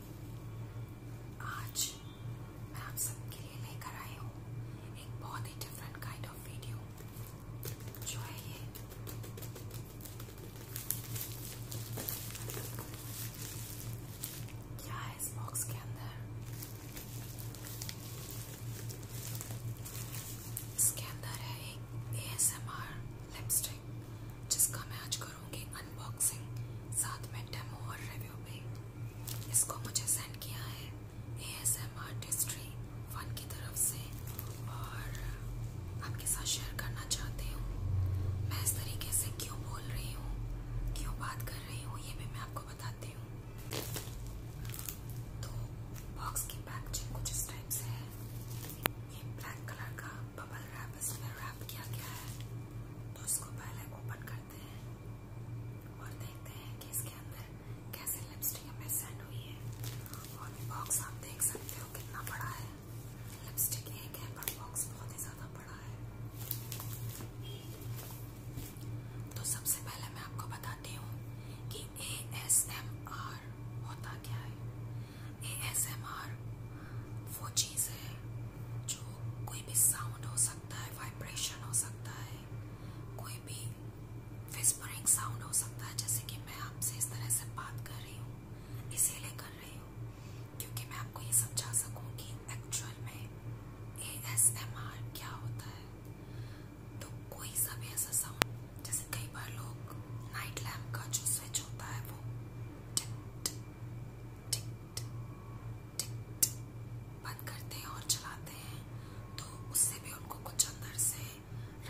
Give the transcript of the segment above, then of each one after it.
आज मैं आप सबके लिए लेकर आई हूँ एक बहुत ही डिफरेंट काइंड ऑफ वीडियो जो है ये क्या है इस बॉक्स के अंदर इसके अंदर है एक एएसएमआर लिपस्टिक जिसका मैं आज करूँ करूँगी अनबॉक्सिंग साथ में डेमो और रिव्यू भी इसको मुझे सेंड किया है ए एस एम आर्टिस्ट्री फन की तरफ से और आपके साथ शेयर करना चाहती हूँ मैं इस तरीके से क्यों बोल रही हूँ क्यों बात कर रही हूँ ये भी मैं आपको बताती हूँ तो बॉक्स की पैकेजिंग कुछ इस टाइप से है ये ब्लैक कलर का बबल रैप इसमें प्राप्त किया गया है तो उसको पहले ओपन करते हैं और देखते हैं कि इसके अंदर कैसे लिपस्टिक हमें सेंड हुई है और बॉक्स आप देख सकते हो कितना बड़ा है लिपस्टिक एक है पर बॉक्स बहुत ही ज़्यादा बड़ा है तो सबसे पहले मैं आपको बताती हूँ कि ए एस एम आर होता क्या है एएसएमआर वो चीज़ है जो कोई भी साउंड हो सकता है वाइब्रेशन हो सकता है कोई भी विस्परिंग साउंड हो सकता है जैसे कि मैं आपसे इस तरह से बात कर रही हूँ इसीलिए कर रही हूँ क्योंकि मैं आपको ये समझा सकूँ कि एक्चुअल में एएसएमआर क्या होता है तो कोई सा भी ऐसा साउंड जैसे कई बार लोग नाइट लैम्प का जो स्विच होता है वो बंद करते हैं और चलाते हैं तो उससे भी उनको कुछ अंदर से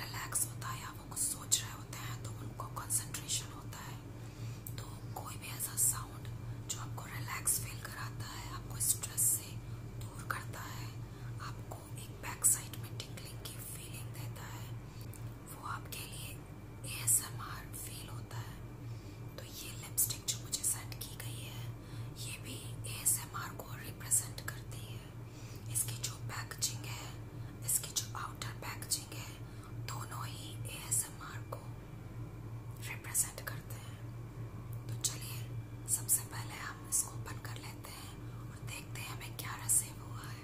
रिलैक्स होता है या वो कुछ सोच रहे होते हैं तो उनको कंसंट्रेशन होता है तो कोई भी ऐसा साउंड जो आपको रिलैक्स फील कराता है आपको स्ट्रेस से दूर करता है आपको एक बैक साइड में टिंगलिंग की फीलिंग देता है वो आपके लिए एएसएमआर फील होता है तो ये लिपस्टिक जो मुझे सेट की गई है ये भी एएसएमआर को रिप्रेजेंट करती है इसकी जो पैकेजिंग है इसकी जो आउटर पैकेजिंग है दोनों ही एएसएमआर को रिप्रेजेंट करते हैं तो चलिए सबसे पहले हम इसको ओपन कर लेते हैं और देखते हैं हमें क्या रिसीव हुआ है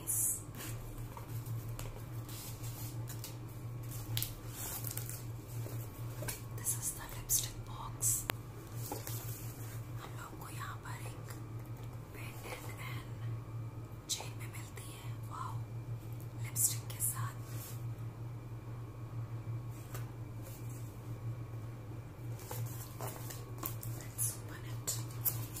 guys. This is the lipstick box. हम लोग को यहाँ पर एक पेंडेंट एंड चेन में मिलती है वाओ लिपस्टिक के साथ Let's open it.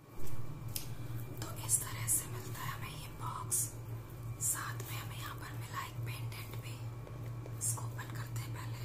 तो इस तरह से मिलता है हमें ये बॉक्स साथ में हमें यहाँ पर मिला एक पेंडेंट भी इसको ओपन करते हैं पहले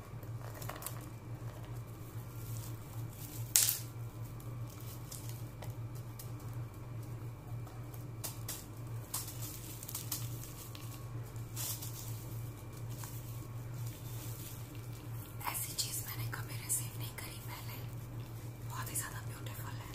ऐसी चीज मैंने कभी रिसीव नहीं करी पहले बहुत ही ज्यादा ब्यूटीफुल है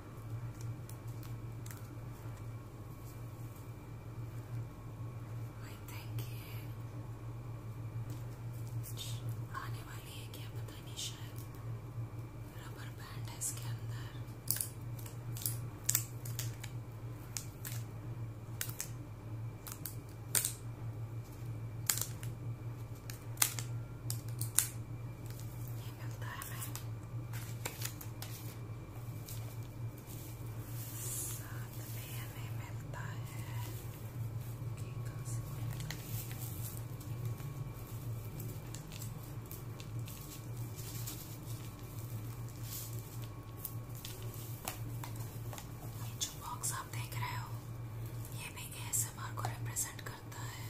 वही थैंक यू आने वाली है क्या पता नहीं शायद रबर बैंड है इसके अंदर ये मिलता है मैं साथ भी हमें मिलता है ये जो बॉक्स आप देख रहे हो ये भी एस को रिप्रेजेंट करता है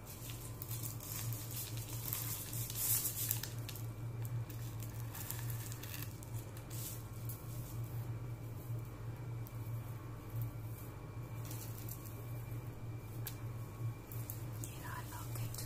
You know, I love it.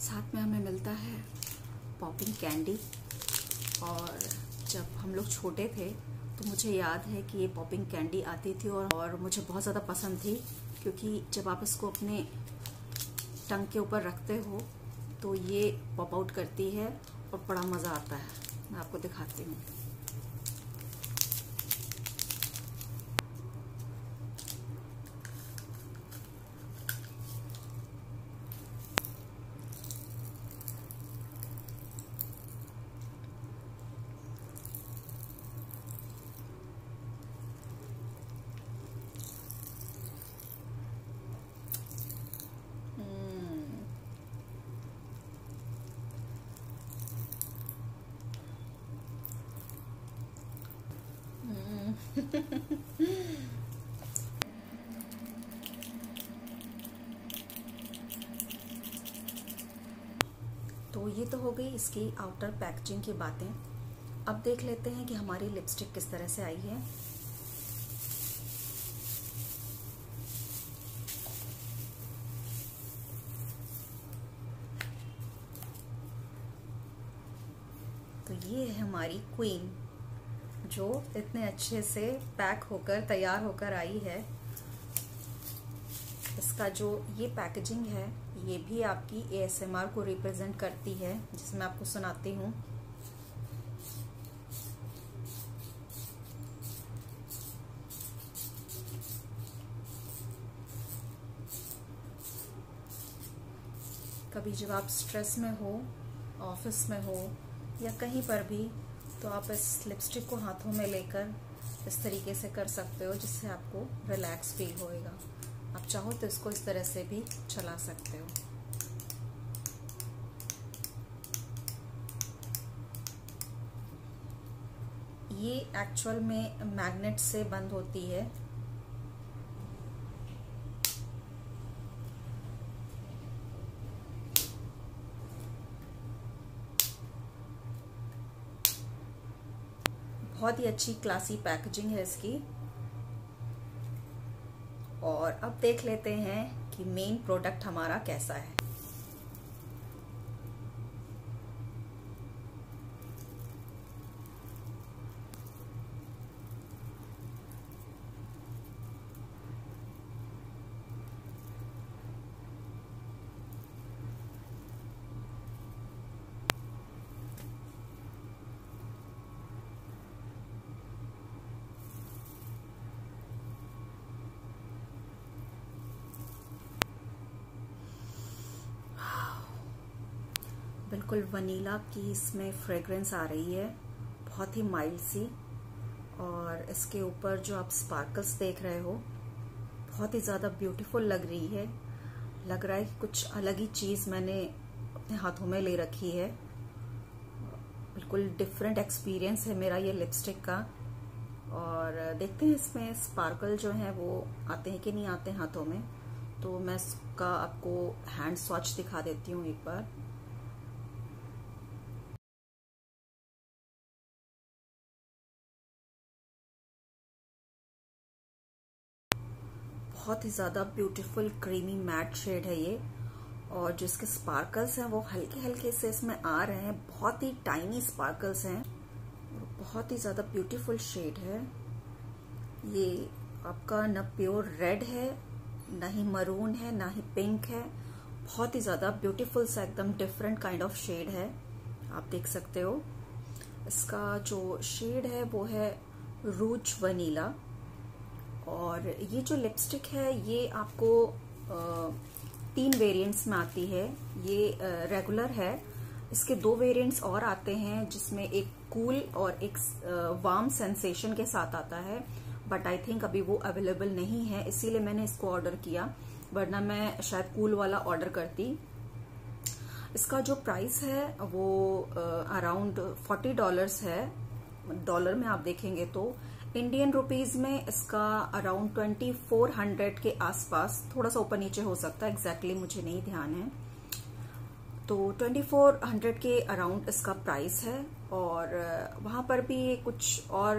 साथ में हमें मिलता है पॉपिंग कैंडी और जब हम लोग छोटे थे तो मुझे याद है कि ये पॉपिंग कैंडी आती थी और और मुझे बहुत ज़्यादा पसंद थी क्योंकि जब आप इसको अपने टंग के ऊपर रखते हो तो ये पॉप आउट करती है और बड़ा मज़ा आता है मैं आपको दिखाती हूँ Hmm. तो ये तो हो गई इसकी आउटर पैकेजिंग की बातें अब देख लेते हैं कि हमारी लिपस्टिक किस तरह से आई है तो ये है हमारी क्वीन जो इतने अच्छे से पैक होकर तैयार होकर आई है इसका जो ये पैकेजिंग है ये भी आपकी एएसएमआर को रिप्रेजेंट करती है जिसमें आपको सुनाती हूँ कभी जब आप स्ट्रेस में हो ऑफिस में हो या कहीं पर भी तो आप इस लिपस्टिक को हाथों में लेकर इस तरीके से कर सकते हो जिससे आपको रिलैक्स फील होएगा जाएगा आप चाहो तो इसको इस तरह से भी चला सकते हो ये एक्चुअल में मैग्नेट से बंद होती है बहुत ही अच्छी क्लासी पैकेजिंग है इसकी और अब देख लेते हैं कि मेन प्रोडक्ट हमारा कैसा है बिल्कुल वनीला की इसमें फ्रेग्रेंस आ रही है बहुत ही माइल्ड सी और इसके ऊपर जो आप स्पार्कल्स देख रहे हो बहुत ही ज़्यादा ब्यूटीफुल लग रही है लग रहा है कि कुछ अलग ही चीज़ मैंने अपने हाथों में ले रखी है बिल्कुल डिफरेंट एक्सपीरियंस है मेरा ये लिपस्टिक का और देखते हैं इसमें स्पार्कल जो है वो आते हैं कि नहीं आते हैं हाथों में तो मैं इसका आपको हैंड स्वॉच दिखा देती हूँ एक बार बहुत ही ज़्यादा ब्यूटीफुल क्रीमी मैट शेड है ये और जो इसके स्पार्कल्स हैं वो हल्के हल्के से इसमें आ रहे हैं बहुत ही टाइनी स्पार्कल्स हैं बहुत ही ज़्यादा ब्यूटीफुल शेड है ये आपका न प्योर रेड है ना ही मरून है ना ही पिंक है बहुत ही ज़्यादा ब्यूटीफुल सा एकदम डिफरेंट काइंड ऑफ शेड है आप देख सकते हो इसका जो शेड है वो है रूच वनीला और ये जो लिपस्टिक है ये आपको तीन वेरिएंट्स में आती है ये रेगुलर है इसके दो वेरिएंट्स और आते हैं जिसमें एक कूल और एक वार्म सेंसेशन के साथ आता है बट आई थिंक अभी वो अवेलेबल नहीं है इसीलिए मैंने इसको ऑर्डर किया वरना मैं शायद कूल वाला ऑर्डर करती की इसका जो प्राइस है वो अराउंड फोर्टी डॉलर्स है डॉलर में आप देखेंगे तो इंडियन रुपीज में इसका अराउंड ट्वेंटी फोर हंड्रेड के आसपास थोड़ा सा ऊपर नीचे हो सकता है एग्जैक्टली मुझे नहीं ध्यान है तो ट्वेंटी फोर हंड्रेड के अराउंड इसका प्राइस है और वहां पर भी कुछ और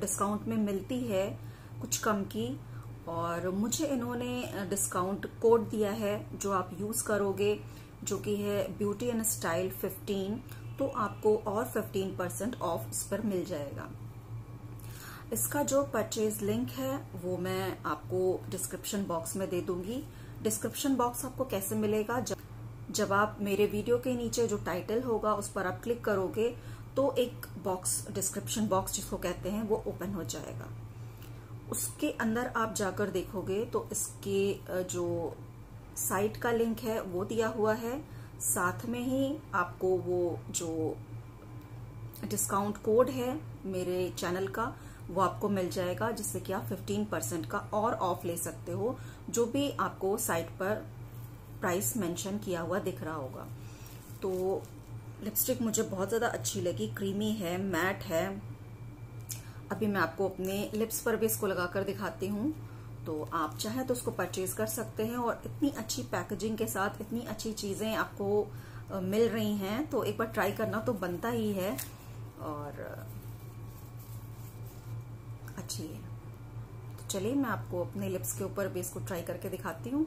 डिस्काउंट में मिलती है कुछ कम की और मुझे इन्होंने डिस्काउंट कोड दिया है जो आप यूज़ करोगे जो कि है ब्यूटी एंड स्टाइल 15 तो आपको और 15 परसेंट ऑफ इस पर मिल जाएगा इसका जो परचेज लिंक है वो मैं आपको डिस्क्रिप्शन बॉक्स में दे दूंगी डिस्क्रिप्शन बॉक्स आपको कैसे मिलेगा जब जब आप मेरे वीडियो के नीचे जो टाइटल होगा उस पर आप क्लिक करोगे तो एक बॉक्स डिस्क्रिप्शन बॉक्स जिसको कहते हैं वो ओपन हो जाएगा उसके अंदर आप जाकर देखोगे तो इसके जो साइट का लिंक है वो दिया हुआ है साथ में ही आपको वो जो डिस्काउंट कोड है मेरे चैनल का वो आपको मिल जाएगा जिससे कि आप फिफ्टीन परसेंट का और ऑफ ले सकते हो जो भी आपको साइट पर प्राइस मेंशन किया हुआ दिख रहा होगा तो लिपस्टिक मुझे बहुत ज़्यादा अच्छी लगी क्रीमी है मैट है अभी मैं आपको अपने लिप्स पर भी इसको लगाकर दिखाती हूँ तो आप चाहे तो उसको परचेज कर सकते हैं और इतनी अच्छी पैकेजिंग के साथ इतनी अच्छी चीज़ें आपको मिल रही हैं तो एक बार ट्राई करना तो बनता ही है और अच्छी है तो चलिए मैं आपको अपने लिप्स के ऊपर भी इसको ट्राई करके दिखाती हूँ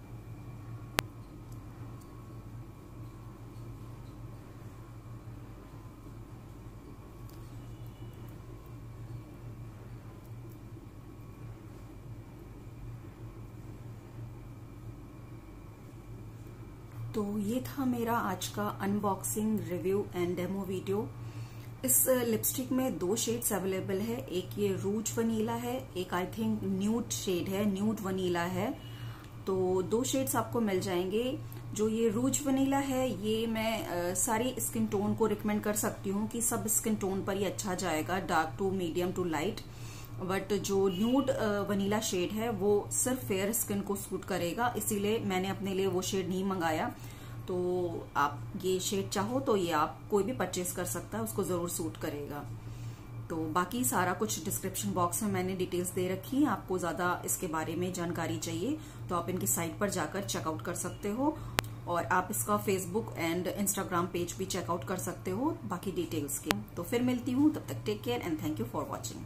तो ये था मेरा आज का unboxing review and demo video इस लिपस्टिक uh, में दो शेड्स अवेलेबल है एक ये रूज वनीला है एक आई थिंक न्यूट शेड है न्यूट वनीला है तो दो शेड्स आपको मिल जाएंगे जो ये रूज वनीला है ये मैं सारी स्किन टोन को रिकमेंड कर सकती हूँ कि सब स्किन टोन पर ही अच्छा जाएगा dark to medium to light but जो न्यूड वनीला शेड है वो सिर्फ फेयर स्किन को सूट करेगा इसीलिए मैंने अपने लिए वो शेड नहीं मंगाया तो आप ये शेड चाहो तो ये आप कोई भी परचेज कर सकता है उसको ज़रूर सूट करेगा तो बाकी सारा कुछ डिस्क्रिप्शन बॉक्स में मैंने डिटेल्स दे रखी है आपको ज़्यादा इसके बारे में जानकारी चाहिए तो आप इनकी साइट पर जाकर चेकआउट कर सकते हो और आप इसका फेसबुक एंड इंस्टाग्राम पेज भी चेकआउट कर सकते हो बाकी डिटेल्स के तो फिर मिलती हूँ तब तक take care and thank you for watching